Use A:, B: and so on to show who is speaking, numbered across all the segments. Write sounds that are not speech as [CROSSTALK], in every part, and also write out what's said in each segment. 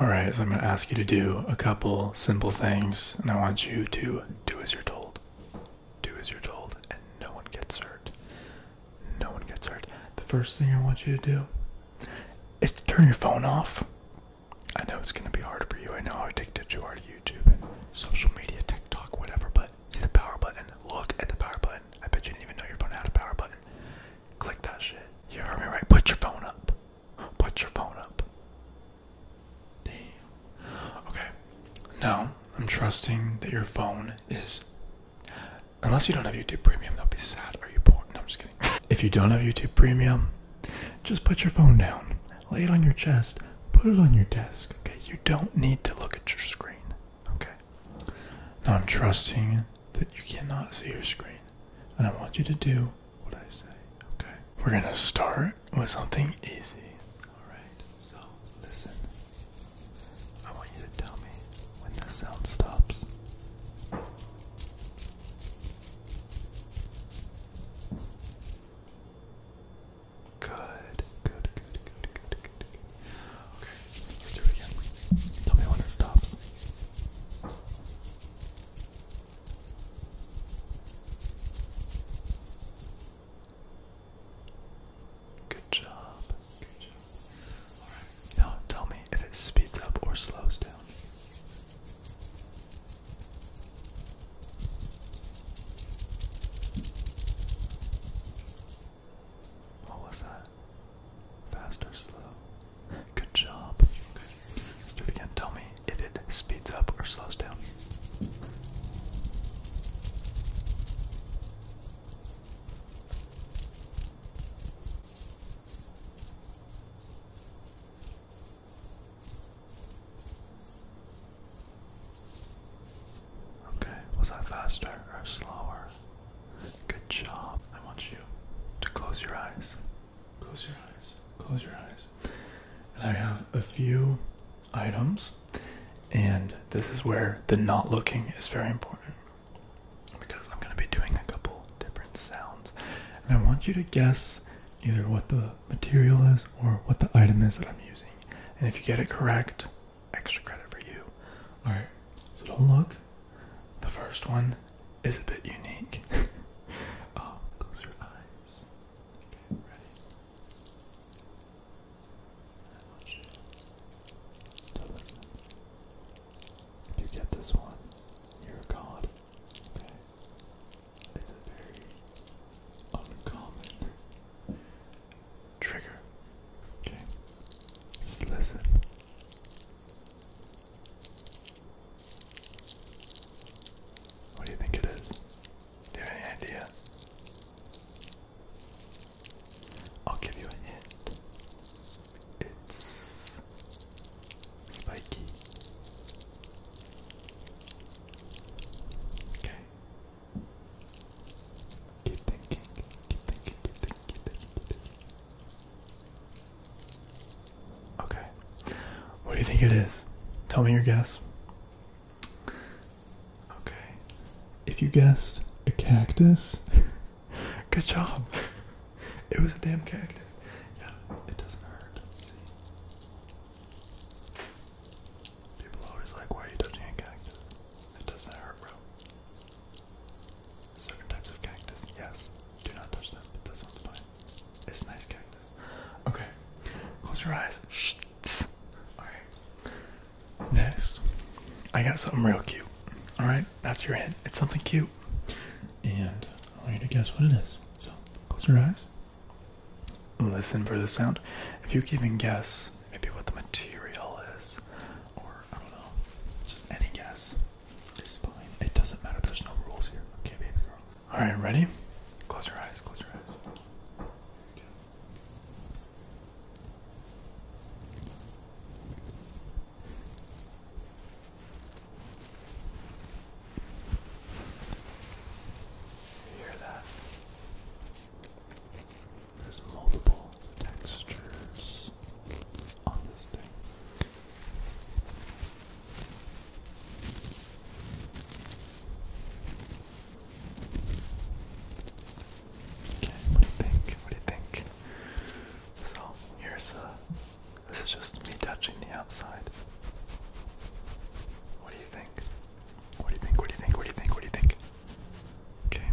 A: Alright, so I'm going to ask you to do a couple simple things, and I want you to do as you're told. Do as you're told, and no one gets hurt. No one gets hurt. The first thing I want you to do is to turn your phone off. I know it's going to be hard for you. I know how addicted you are to YouTube and social media, TikTok, whatever, but see the power button. Look at the power button. I bet you didn't even know your phone had a power button. Click that shit. You heard me right. Put your phone up. Put your phone up. Okay. Now, I'm trusting that your phone is. Unless you don't have YouTube Premium, that'll be sad. Are you poor? No, I'm just kidding. [LAUGHS] If you don't have YouTube Premium, just put your phone down. Lay it on your chest. Put it on your desk. Okay. You don't need to look at your screen. Okay. Now, I'm trusting that you cannot see your screen. And I want you to do what I say. Okay. We're gonna start with something easy. Alright, so listen. I want you to tell me when the sound stops. Good, good, good, good, good, good, good. Okay, let's do it again. Tell me when it stops. Good job. Now tell me if it speeds up or slows down. What was that? Fast or slow? Good job. Okay. Let's do it again. Tell me if it speeds up or slows down. Okay, was that faster or slower? Good job. I want you to close your eyes. Close your eyes. Close your eyes. And I have a few items, and this is where the not looking is very important because I'm going to be doing a couple different sounds. And I want you to guess either what the material is or what the item is that I'm using. And if you get it correct, extra credit for you. Alright, so don't look. The first one is a bit unique. uh, [LAUGHS] close your eyes. Okay, ready? I want you to listen. If you get this one, you're a god. Okay? It's a very uncommon trigger. Okay? Just listen. What do you think it is? Do you have any idea? I'll give you a hint. It's spiky. Okay. Keep thinking, keep thinking, keep thinking, keep thinking, keep thinking. Okay. What do you think it is? Tell me your guess. Okay. If you guessed a cactus, [LAUGHS] good job. It was a damn cactus. Yeah, it doesn't hurt. People always like, why are you touching a cactus? It doesn't hurt, bro. Certain types of cactus, yes. Do not touch them, but this one's fine. It's nice cactus. Okay, close your eyes. Alright. Next, I got something real cute. Alright, that's your hint. It's something cute. And I want you to guess what it is. So, close your eyes. Listen for the sound. If you can even guess maybe what the material is, or I don't know, just any guess, it doesn't matter. There's no rules here. Okay, baby girl. All right, ready? Close your eyes. Close your eyes. You hear that? There's multiple textures holes Okay, what do you think? What do you think? So here's a. Uh, this is just me touching the outside. What do you think? What do you think? What do you think? What do you think? What do you think? Okay.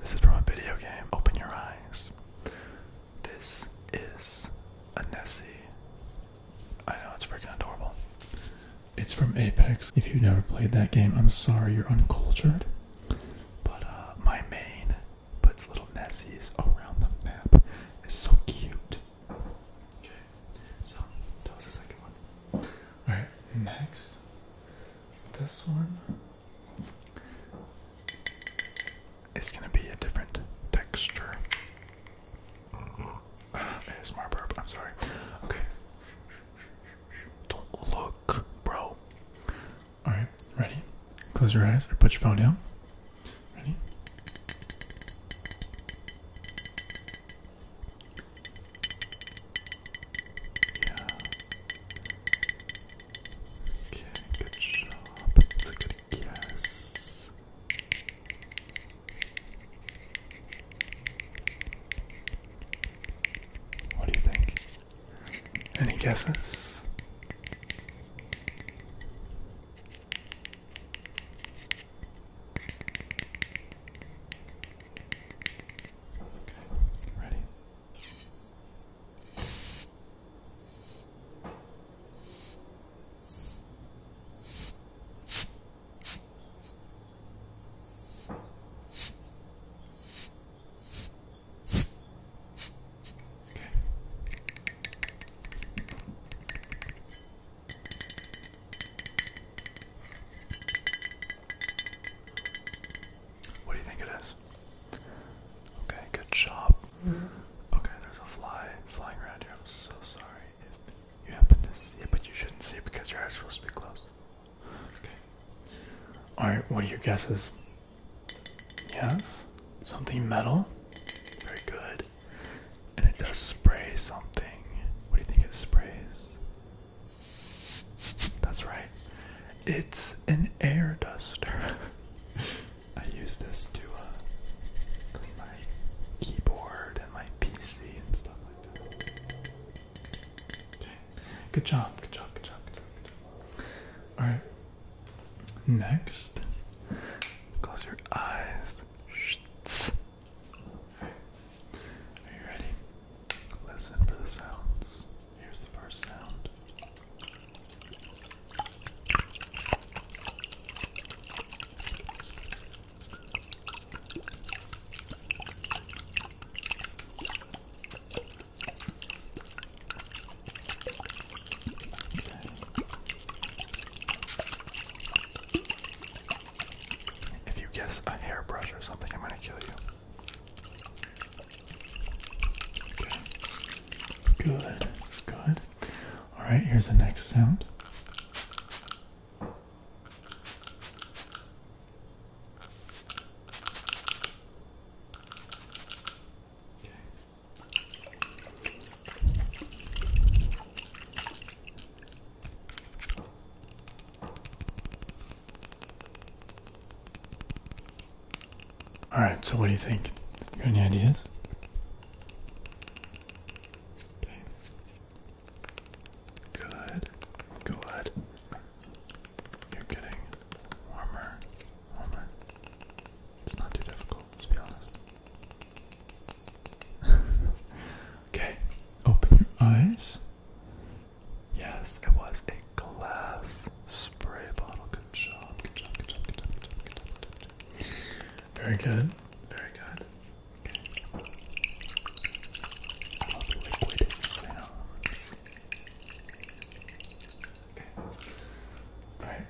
A: This is from a video game. Open your eyes. This is a Nessie I know, it's freaking adorable. It's from Apex. If you've never played that game, I'm sorry you're uncultured. But uh, my main puts little Nessies around the map. It's so cute. Okay, so that was the second one. Alright, next. This one is going to be a different texture. ASMR ah, burp, I'm sorry. Okay. Don't look, bro. Alright, ready? Close your eyes or put your phone down. Ready? Yeah. Okay, good job. That's a good what do you think? Any guesses? Okay, ready? What do you think it is? Okay, good job. Mm-hmm. Okay, there's a fly flying around here. I'm so sorry you happen to see it, but you shouldn't see it because your eyes are supposed to be closed. Okay. Alright, what are your guesses? Yes? Something metal? Very good. And it does spray something. What do you think it sprays? That's right. It's an air duster. [LAUGHS] I use this to uh, clean my keyboard and my PC and stuff like Okay. Good job. Good job. Good job. Good job. All right. Next, close your eyes. All right. Are you ready? Listen for the sounds. Here's the first sound. If you guess a hairbrush or something, I'm gonna kill you. Good, good. Alright, here's the next sound. All right, so what do you think? got any ideas? Good. Good. You're getting warmer. Warmer. It's not too difficult, let's be honest. [LAUGHS] okay. Open your eyes. Yes, it was a glass spray bottle. Good job. Very good. Very good. I love liquid sounds. Okay. Alright.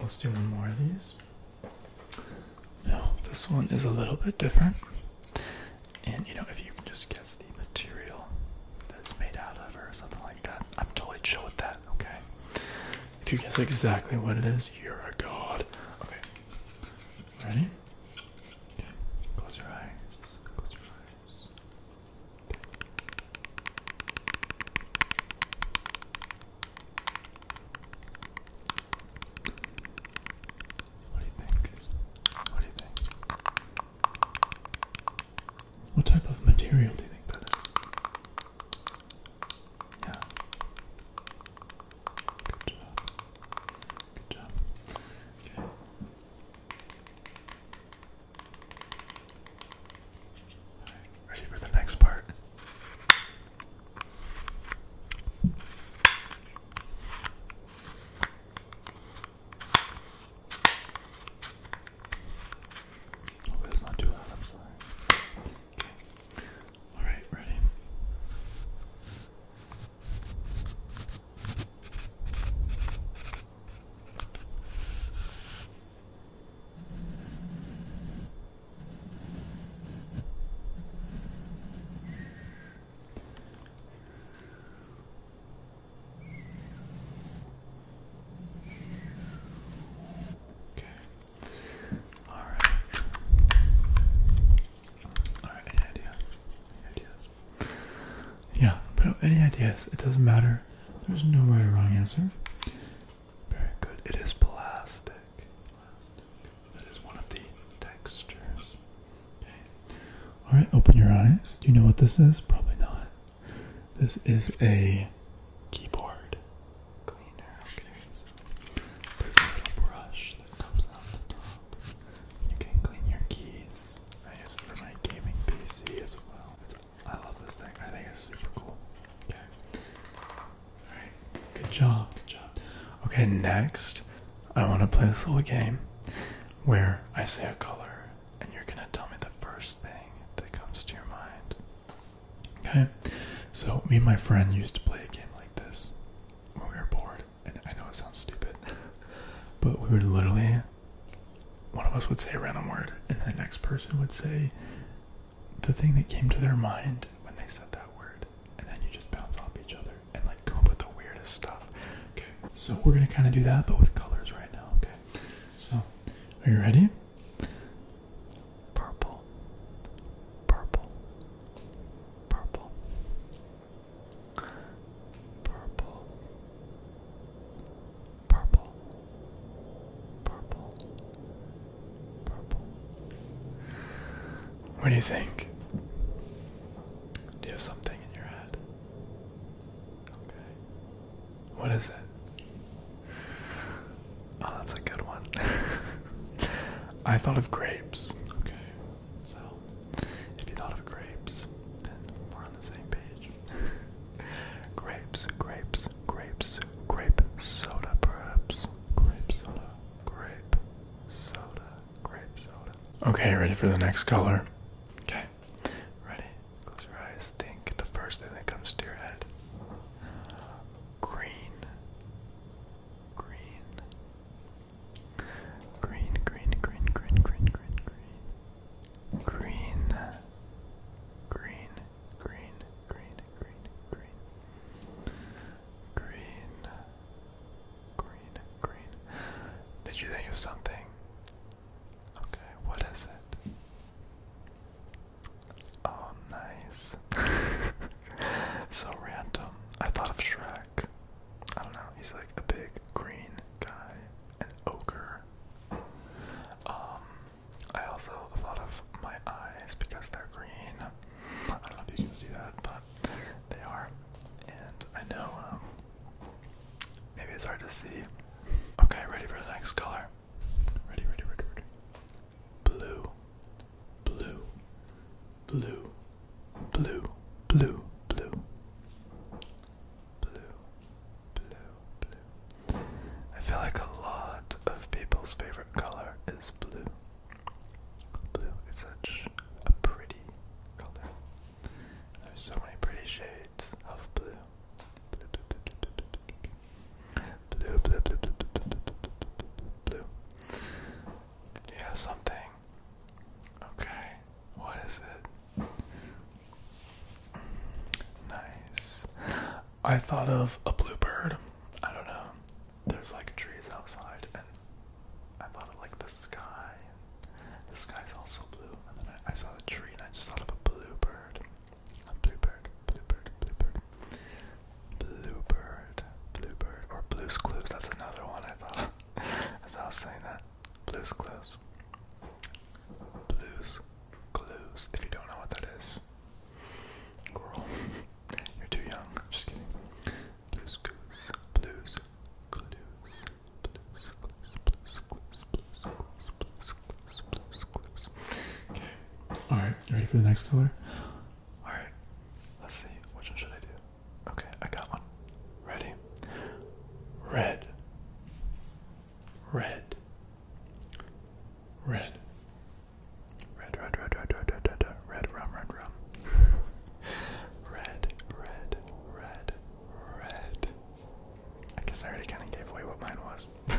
A: Let's do one more of these. Now, this one is a little bit different. And you know, if you can just guess the material that's made out of or something like that, I'm totally chill with that, okay? If you guess exactly what it is, you're a god. Okay. Ready? Okay. Close your eyes. Close your eyes. What do you think? What do you think? What type of material do you think that is? Yeah. Good job. Good job. Okay. ready for the next part. Hope oh, it's not too loud, I'm sorry. All right, ready. Okay. Alright. Alright, any ideas? ideas? Yeah, any ideas? It doesn't matter. There's no right or wrong answer. Very good. It is plastic. That is one of the textures. Alright, open your eyes. Do you know what this is? Probably not. This is a keyboard cleaner. Okay, there's a little brush that comes out the top. You can clean your keys. I use it for my gaming PC as well. I love this thing. I think it's super cool. Okay. Alright. Good job. Good job. Okay, next, I want to play this little game where I say a color and you're going to tell me the first thing that comes to your mind. Okay, so me and my friend used to play a game like this when we were bored, and I know it sounds stupid, but we would literally, one of us would say a random word, and the next person would say the thing that came to their mind when they said that word, and then you just bounce off each other and like come up with the weirdest stuff. Okay, so we're gonna kind of do that, but with colors right now. Okay, so are you ready? purple, purple, purple, purple, purple, purple, purple. What do you think? Do you have something in your head? Okay. What is it? Oh, that's a good one. [LAUGHS] I thought of grapes. Okay, so if you thought of grapes, then we're on the same page. [LAUGHS] grapes, grapes, grapes, grape soda, perhaps. Grape soda, grape soda, grape soda. Okay, ready for the next color? Okay, ready? Close your eyes. Think the first thing that comes to your head. Green, green. Green, green, green, green, green, green, green. Green. Green, green, green, green, green. Did you think of something? Okay, what is it? Oh, nice. [LAUGHS] so random. I thought of Shrek. I don't know. He's like a big green guy, an ogre. Um, I also thought of my eyes because they're green. I don't know if you can see that, but they are. And I know, um, maybe it's hard to see. Okay, ready for the next color? Ready, ready, ready, ready blue, blue, blue, blue, blue, blue, blue, blue, blue. I feel like a lot of people's favorite color is blue. Blue is such a pretty color. There's so many pretty shades of blue. blue, blue, blue, blue, blue, blue. Blue, blue, blue, blue, blue, blue, blue. you have something? Okay, what is it? Nice. I thought of a bluebird. I don't know. There's like trees outside, and I thought of like the sky. The sky's also blue, and then I, saw a tree, and I just thought of a bluebird. A bluebird, bluebird, bluebird. Bluebird, Bluebird, or Blue's Clues. That's another one I thought of as I was saying that. Blue's Clues. Blue's Clues. If you don't know what that is, girl, you're too young. Just kidding. Blue's Clues, Blue's Clues, Blue's Clues, Blue's Clues, Blues Clues, Blues Clues, Blues Clues. Okay. All right. You ready for the next color? Alright, let's see. Which one should I do? Okay, I got one. Ready? Red. Red. Red. Red, red, red, red, red, red, red, red, rum, red, rum. [LAUGHS] red, red, red, red. I guess I already kind of gave away what mine was. [LAUGHS]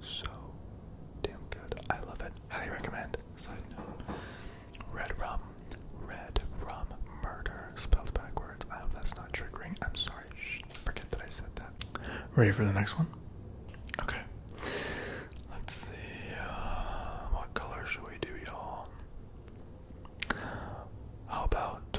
A: so damn good. I love it. Highly recommend. Side note. Red rum. Red rum murder. Spelled backwards. I hope that's not triggering. I'm sorry. Shh. Forget that I said that. Ready for the next one? Okay. Let's see. Um, what color should we do, y'all? How about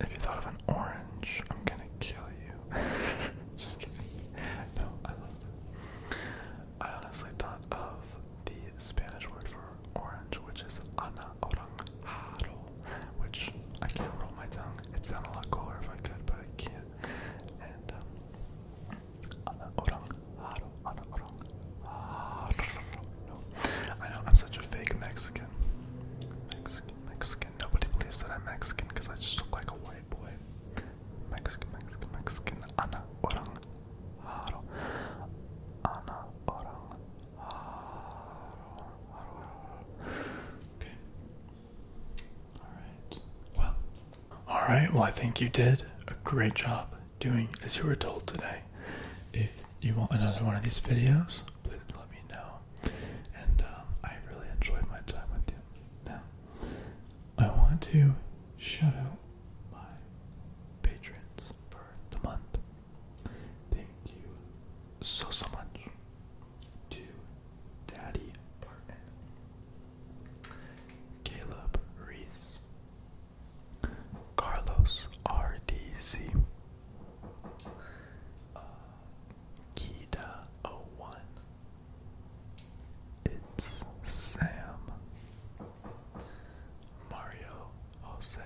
A: If you thought of an orange, I'm gonna kill you. [LAUGHS] Just kidding. No, I love them. I honestly thought of the Spanish word for orange, which is ana oranjado, which I can't roll my tongue. It'd sound a lot cooler if I could, but I can't. And um, ana oranjado, ana oranjado. No. I know I'm such a fake Mexican. Mexican, Mexican. Nobody believes that I'm Mexican because I just look like a white boy. Mexican, Mexican, Mexican. Ana orang haro. Ana orang haro. Okay. Alright. Well. Alright, well, I think you did a great job doing as you were told today. If you want another one of these videos, please let me know. And um, I really enjoyed my time with you. Now, I want to shout out my patrons for the month. Thank you so, so much to Daddy Barton, Caleb Reese, Carlos RDC, uh, Kida01. It's Sam. Mario Jose.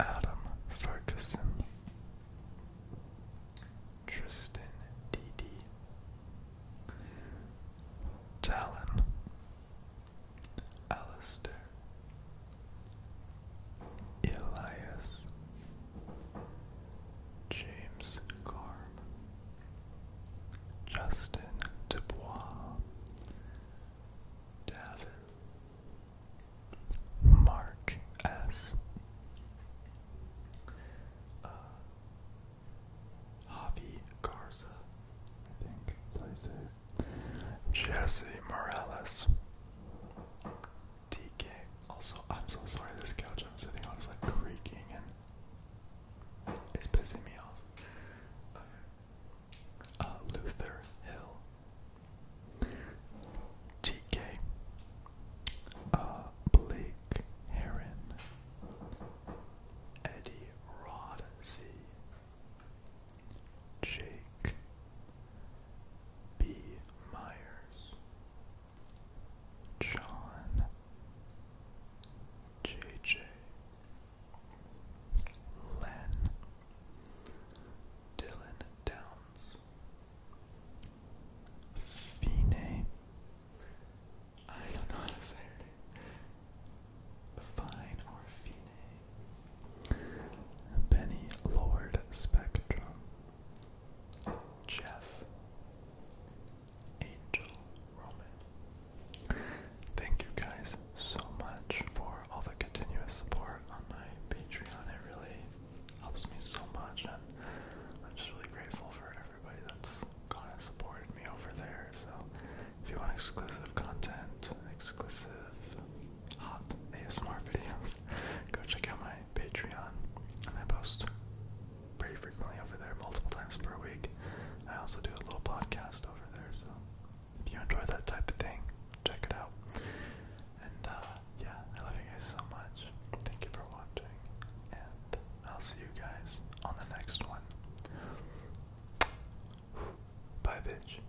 A: Adam Ferguson. Tristan Didi. Talon. Alister, Elias, James Garm, Justin Dubois, Davin, Mark S. Uh, Javi Garza, I think that's how Jesse Morales. DK. Also, I'm so sorry this couch I'm sitting on is like creaking and it's pissing me off. Uh, Luther Hill. TK. Uh, Blake Heron. Eddie Rod Jake B. Myers, John J.J. Len Dylan Downs Fine I don't know how to say her Fine or Fine Benny Lord Spectrum, Jeff, Angel Roman. Thank you guys so much for all the continuous support on my Patreon. It really helps me so much, and I'm just really grateful for Everybody that's kind of supported me over there. So, if you want exclusive content, exclusive hot ASMR videos, go check out my Patreon. I post pretty frequently over there, multiple times per week. I also do a little podcast over there, so if you enjoy that type of thing, check it out. And uh, yeah, I love you guys so much. Thank you for watching, and I'll see you guys on the next one. Bye, bitch.